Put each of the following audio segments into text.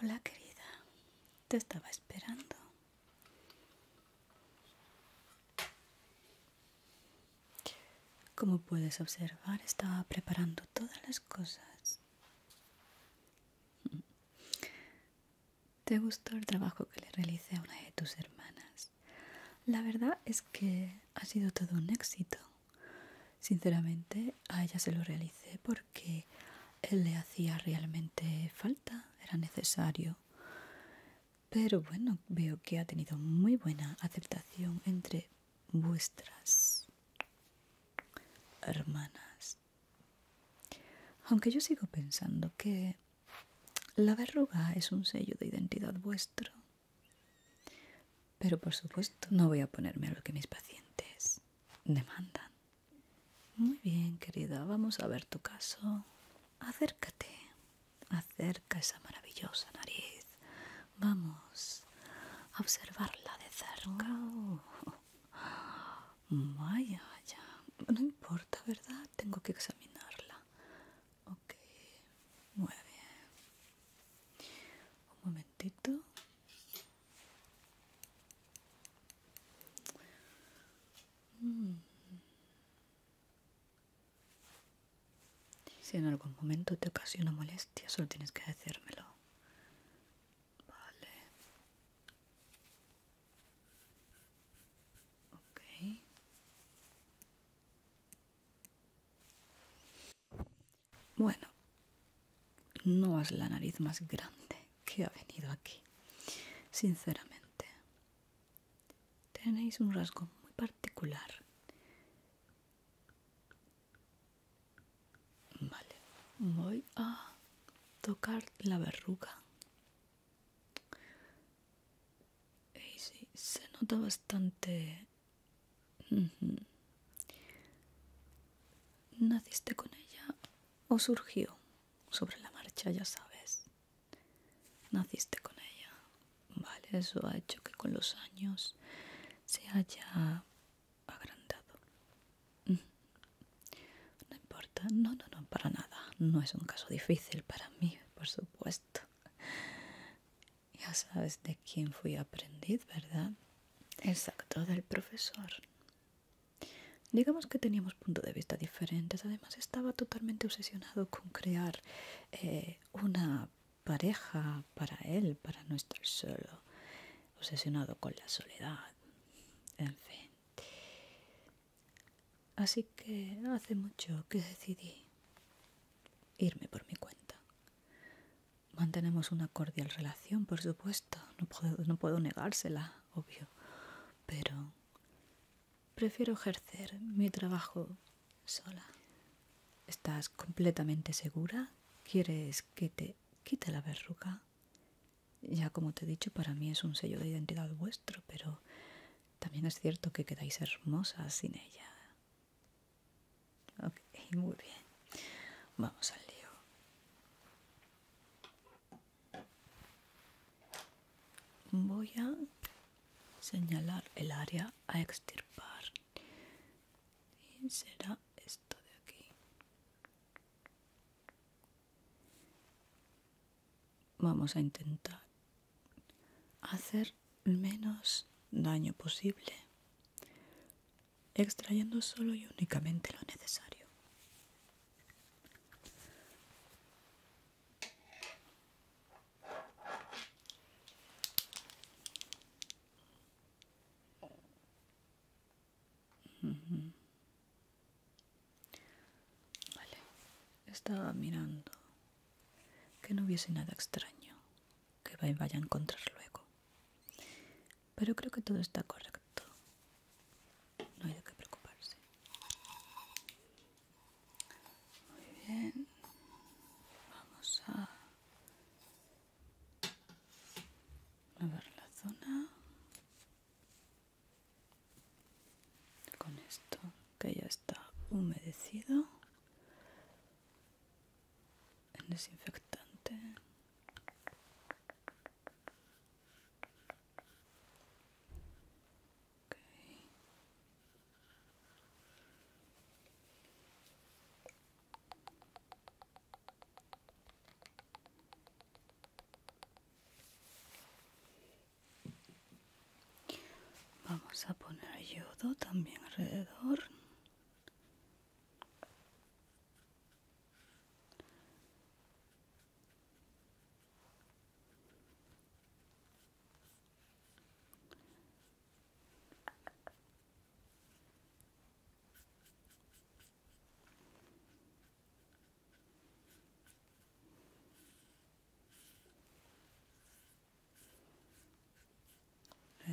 Hola querida, te estaba esperando. Como puedes observar, estaba preparando todas las cosas. ¿Te gustó el trabajo que le realicé a una de tus hermanas? La verdad es que ha sido todo un éxito. Sinceramente, a ella se lo realicé porque él le hacía realmente falta, era necesario pero bueno, veo que ha tenido muy buena aceptación entre vuestras hermanas. Aunque yo sigo pensando que la verruga es un sello de identidad vuestro. Pero por supuesto no voy a ponerme a lo que mis pacientes demandan. Muy bien, querida, vamos a ver tu caso. Acércate, acerca esa maravillosa nariz. Vamos a observarla de cerca. Oh. Vaya, No importa, ¿verdad? Tengo que examinarla. Ok, muy bien. Un momentito. Mm. Si en algún momento te ocasiona molestia, solo tienes que decírmelo. Vale. Ok. Bueno, no has la nariz más grande que ha venido aquí, sinceramente tenéis un rasgo muy particular. Vale, voy a tocar la verruga. Y sí, se nota bastante... ¿Naciste con ella o surgió sobre la marcha, ya sabes? Naciste con ella. Vale, eso ha hecho que con los años se haya agrandado. Mm. No importa, no, no, no, para nada. No es un caso difícil para mí, por supuesto. Ya sabes de quién fui aprendiz, ¿verdad? Exacto, del profesor. Digamos que teníamos puntos de vista diferentes, además estaba totalmente obsesionado con crear eh, una pareja para él, para no estar solo, obsesionado con la soledad, en fin. Así que hace mucho que decidí irme por mi cuenta. Mantenemos una cordial relación, por supuesto, no puedo, no puedo negársela, obvio, pero Prefiero ejercer mi trabajo sola. ¿Estás completamente segura? ¿Quieres que te quite la verruga? Ya como te he dicho, para mí es un sello de identidad vuestro, pero también es cierto que quedáis hermosas sin ella. Ok, muy bien. Vamos al lío voy a señalar el área a extirpar y será esto de aquí vamos a intentar hacer menos daño posible extrayendo solo y únicamente lo necesario Vale, estaba mirando que no hubiese nada extraño que vaya a encontrar luego. Pero creo que todo está correcto. No hay de qué preocuparse. Muy bien. Vamos a ver la zona con esto que ya está humedecido en desinfectante. Vamos a poner yodo también alrededor.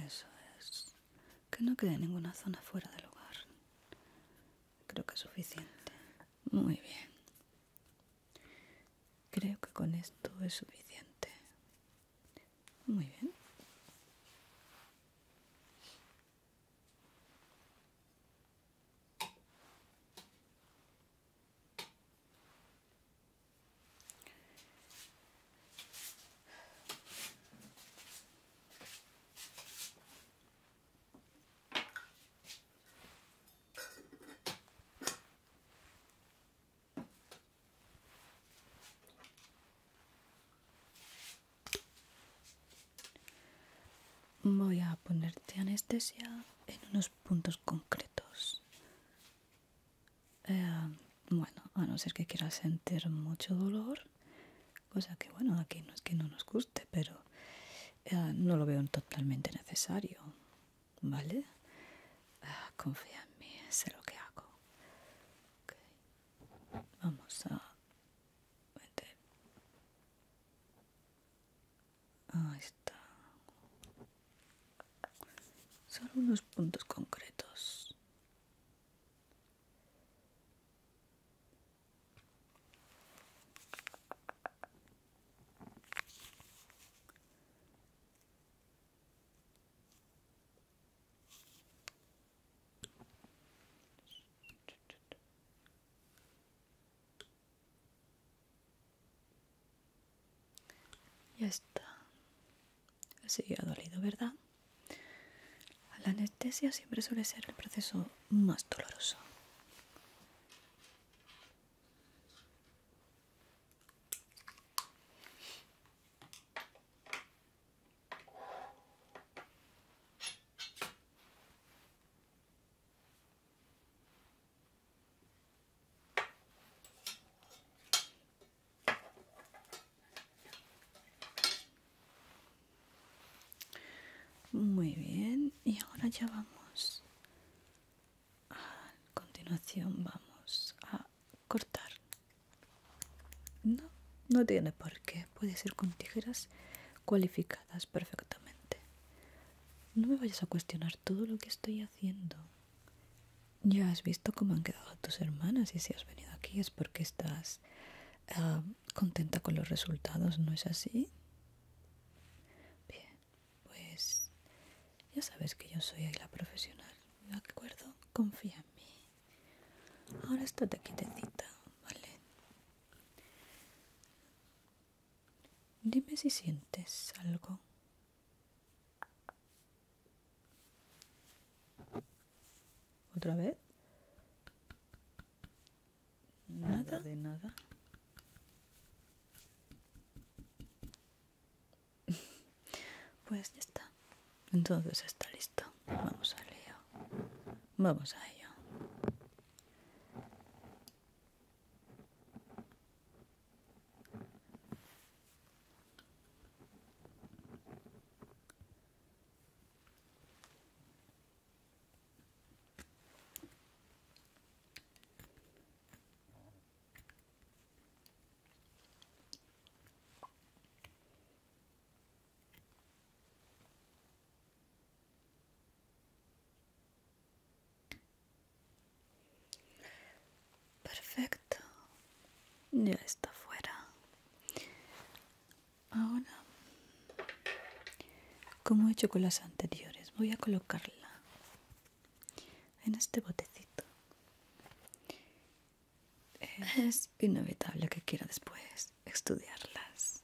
Eso es. Que no quede ninguna zona fuera del lugar. Creo que es suficiente. Muy bien. Creo que con esto es suficiente. Muy bien. Voy a ponerte anestesia en unos puntos concretos. Eh, bueno, a no ser que quieras sentir mucho dolor, cosa que bueno, aquí no es que no nos guste, pero eh, no lo veo totalmente necesario. ¿Vale? Ah, confía en mí, sé lo que hago. Vamos a meter. Ahí está. son unos puntos concretos. Ya está. Así ha dolido, ¿verdad? La anestesia siempre suele ser el proceso más doloroso. Muy bien, y ahora ya vamos a continuación vamos a cortar no no tiene por qué puede ser con tijeras cualificadas perfectamente no me vayas a cuestionar todo lo que estoy haciendo ya has visto cómo han quedado tus hermanas y si has venido aquí es porque estás ah, contenta con los resultados no es así bien pues ya sabes que yo soy la profesional, ¿de acuerdo? Confía en mí. Ahora te quietecita, ¿vale? Dime si sientes algo. ¿Otra vez? nada de nada. Pues ya está. Entonces está listo. Vamos a lío. Vamos a ello. Perfecto, ya está fuera. Ahora, como he hecho con las anteriores, voy a colocarla en este botecito. Es inevitable que quiera después estudiarlas.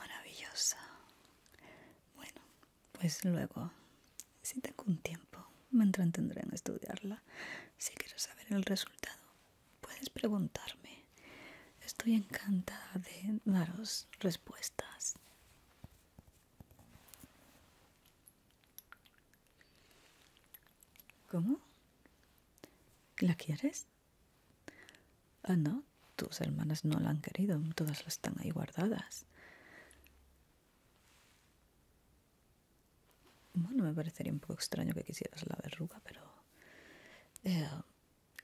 Maravillosa. Bueno, pues luego, si tengo un tiempo, me entretendré en estudiarla. Si quieres saber el resultado, puedes preguntarme. Estoy encantada de daros respuestas. ¿Cómo? ¿La quieres? Ah, no, tus hermanas no la han querido, todas las están ahí guardadas. Bueno, me parecería un poco extraño que quisieras la verruga, pero eh,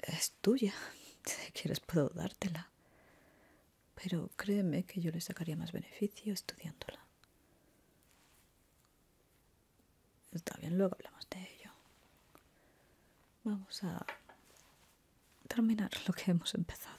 es tuya. Si quieres puedo dártela. Pero créeme que yo le sacaría más beneficio estudiándola. Está bien, luego hablamos de ello. Vamos a terminar lo que hemos empezado.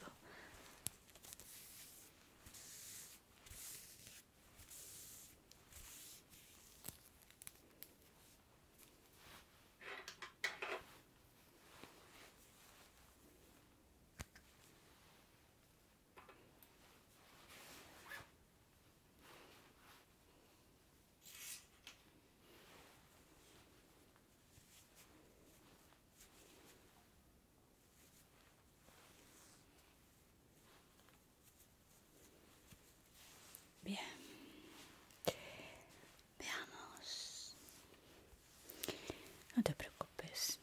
Bien. Veamos. No te preocupes.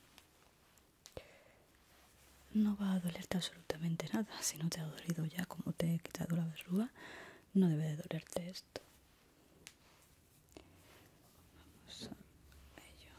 No va a dolerte absolutamente nada. Si no te ha dolido ya como te he quitado la verruga, no debe de dolerte esto. Vamos ello.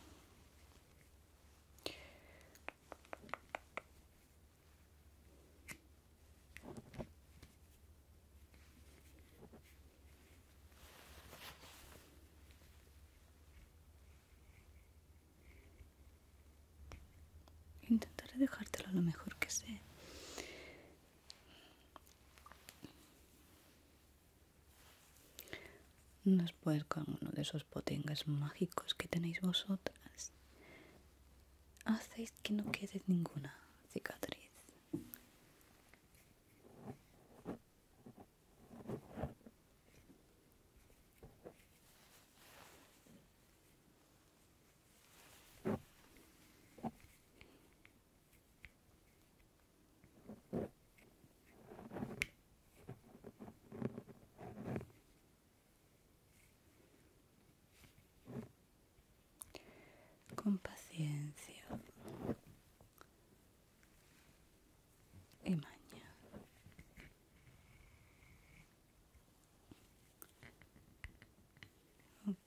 Intentaré dejártelo lo mejor que sé. Nos Después con uno de esos potengas mágicos que tenéis vosotras, hacéis que no quede ninguna cicatriz. Con paciencia y maña. Okay.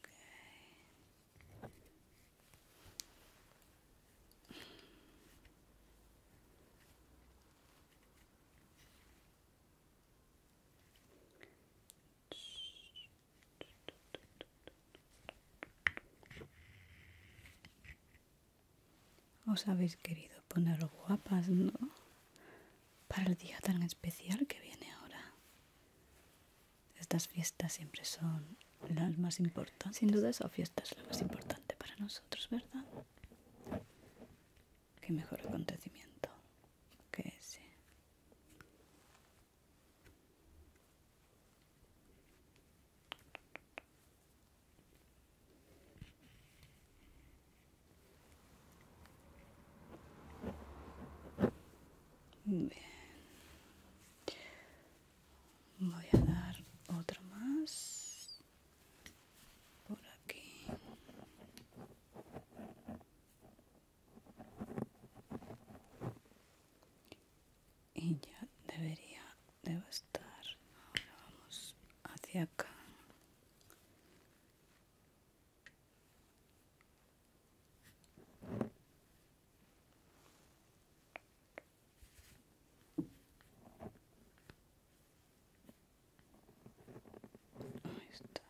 Os habéis querido poner guapas, ¿no? Para el día tan especial que viene ahora. Estas fiestas siempre son la más importante. Sin duda esa fiesta es la más importante para nosotros, ¿verdad? Qué mejor acontecimiento que ese. Bien voy a dar otro más por aquí y ya debería de estar ahora vamos hacia acá Ahí está.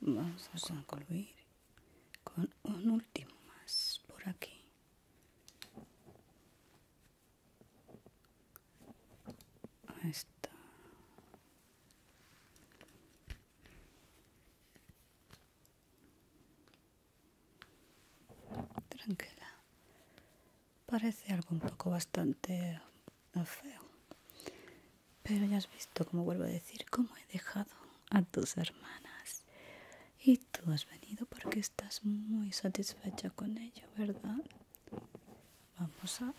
vamos a concluir con un último más por aquí Ahí está. Tranquila. Parece algo un poco bastante feo. Pero ya has visto, como vuelvo a decir, cómo he dejado a tus hermanas. Y tú has venido porque estás muy satisfecha con ello, ¿verdad? Vamos a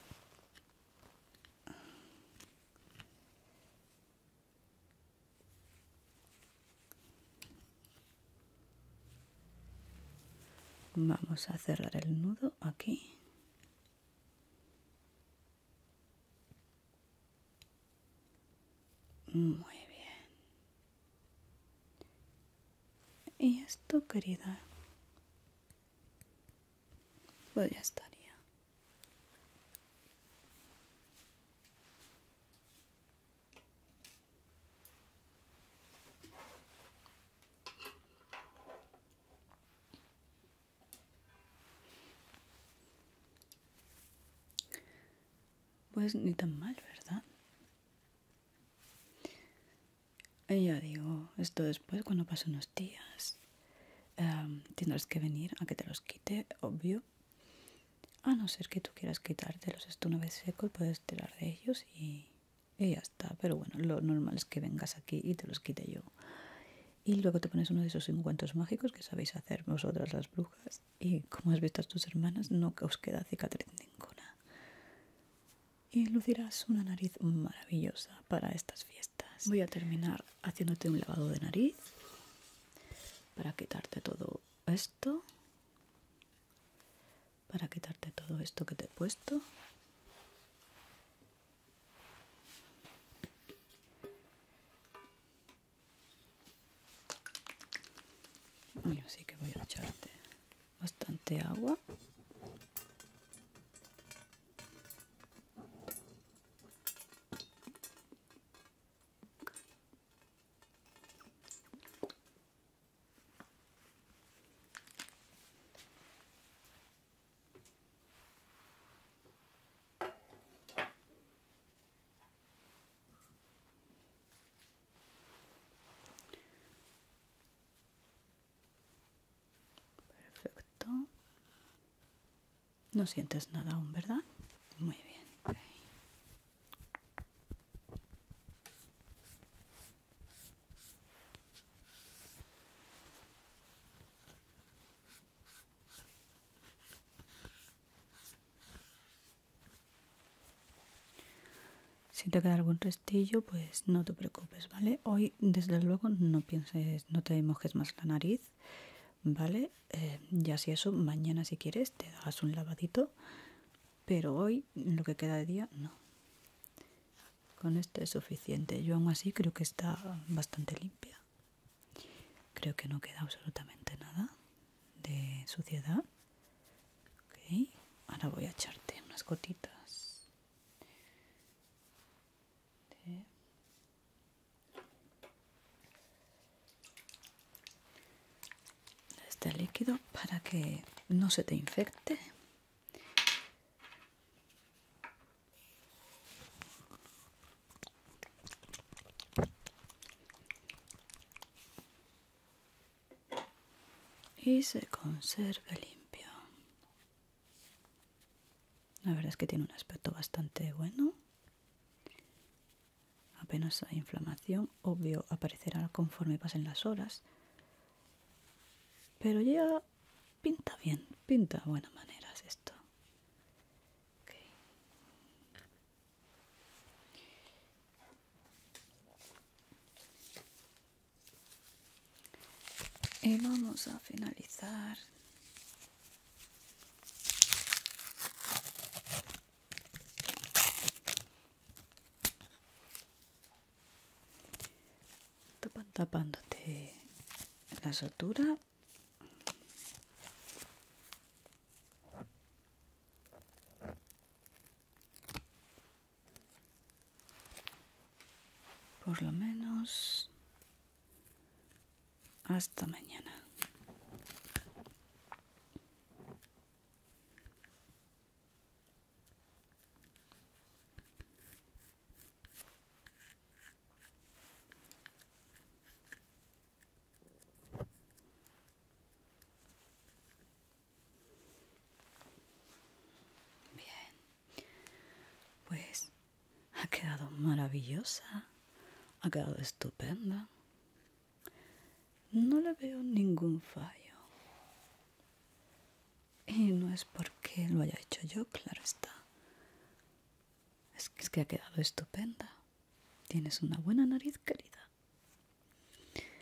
vamos a cerrar el nudo aquí muy bien y esto querida pues ya estaría. Pues ni tan mal, ¿verdad? Y ya digo, esto después, cuando pasen unos días, em, tendrás que venir a que te los quite, obvio. A no ser que tú quieras quitártelos, esto una vez seco, puedes tirar de ellos y, y ya está. Pero bueno, lo normal es que vengas aquí y te los quite yo. Y luego te pones uno de esos encuentros mágicos que sabéis hacer vosotras las brujas. Y como has visto a tus hermanas, no os queda cicatriz ninguna y lucirás una nariz maravillosa para estas fiestas. Voy a terminar haciéndote un lavado de nariz para quitarte todo esto, para quitarte todo esto que te he puesto. Y así que voy a echarte bastante agua. Perfecto. No sientes nada aún, ¿verdad? Muy bien. Si te queda algún restillo, pues no te preocupes, ¿vale? desde luego no pienses, no te mojes más la nariz, ¿vale? Eh, ya si eso, mañana si quieres te hagas un lavadito, pero hoy, lo que queda de día, no. Con este es suficiente. Yo aún así creo que está bastante limpia. Creo que no queda absolutamente nada de suciedad. ahora voy a echarte unas gotitas este líquido para que no se te infecte y se conserve limpio la verdad es que tiene un aspecto bastante bueno. Apenas hay inflamación, obvio aparecerá conforme pasen las horas. Pero ya pinta bien, pinta de buenas maneras esto y eh, vamos a finalizar tapándote la sutura por lo menos hasta mañana. Bien, pues ha quedado maravillosa, ha quedado estupenda. No le veo ningún fallo. Y no es porque lo haya hecho yo, claro está. Es que, ha quedado estupenda. Tienes una buena nariz, querida.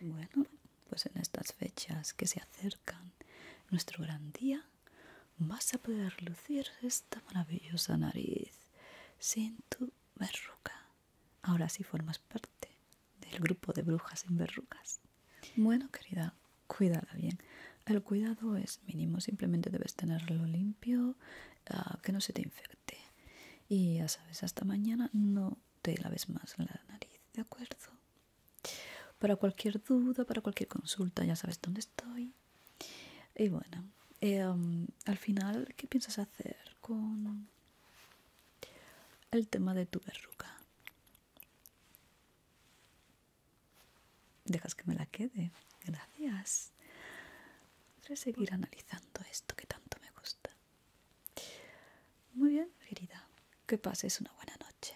Bueno, pues en estas fechas que se acercan, nuestro gran día, vas a poder lucir esta maravillosa nariz sin tu verruga. Ahora sí formas parte del grupo de brujas sin verrugas. Bueno, querida, cuídala bien. El cuidado es mínimo, simplemente debes tenerlo limpio, ah, que no se te infecte. Y ya sabes, hasta mañana no te laves más la nariz, ¿de acuerdo? Para cualquier duda, para cualquier consulta, ya sabes dónde estoy. Y bueno, em, al final, ¿qué piensas hacer con el tema de tu verruga? Dejas que me la quede. Gracias. a seguir analizando esto que tanto me gusta. Muy bien, querida. Que pases una buena noche.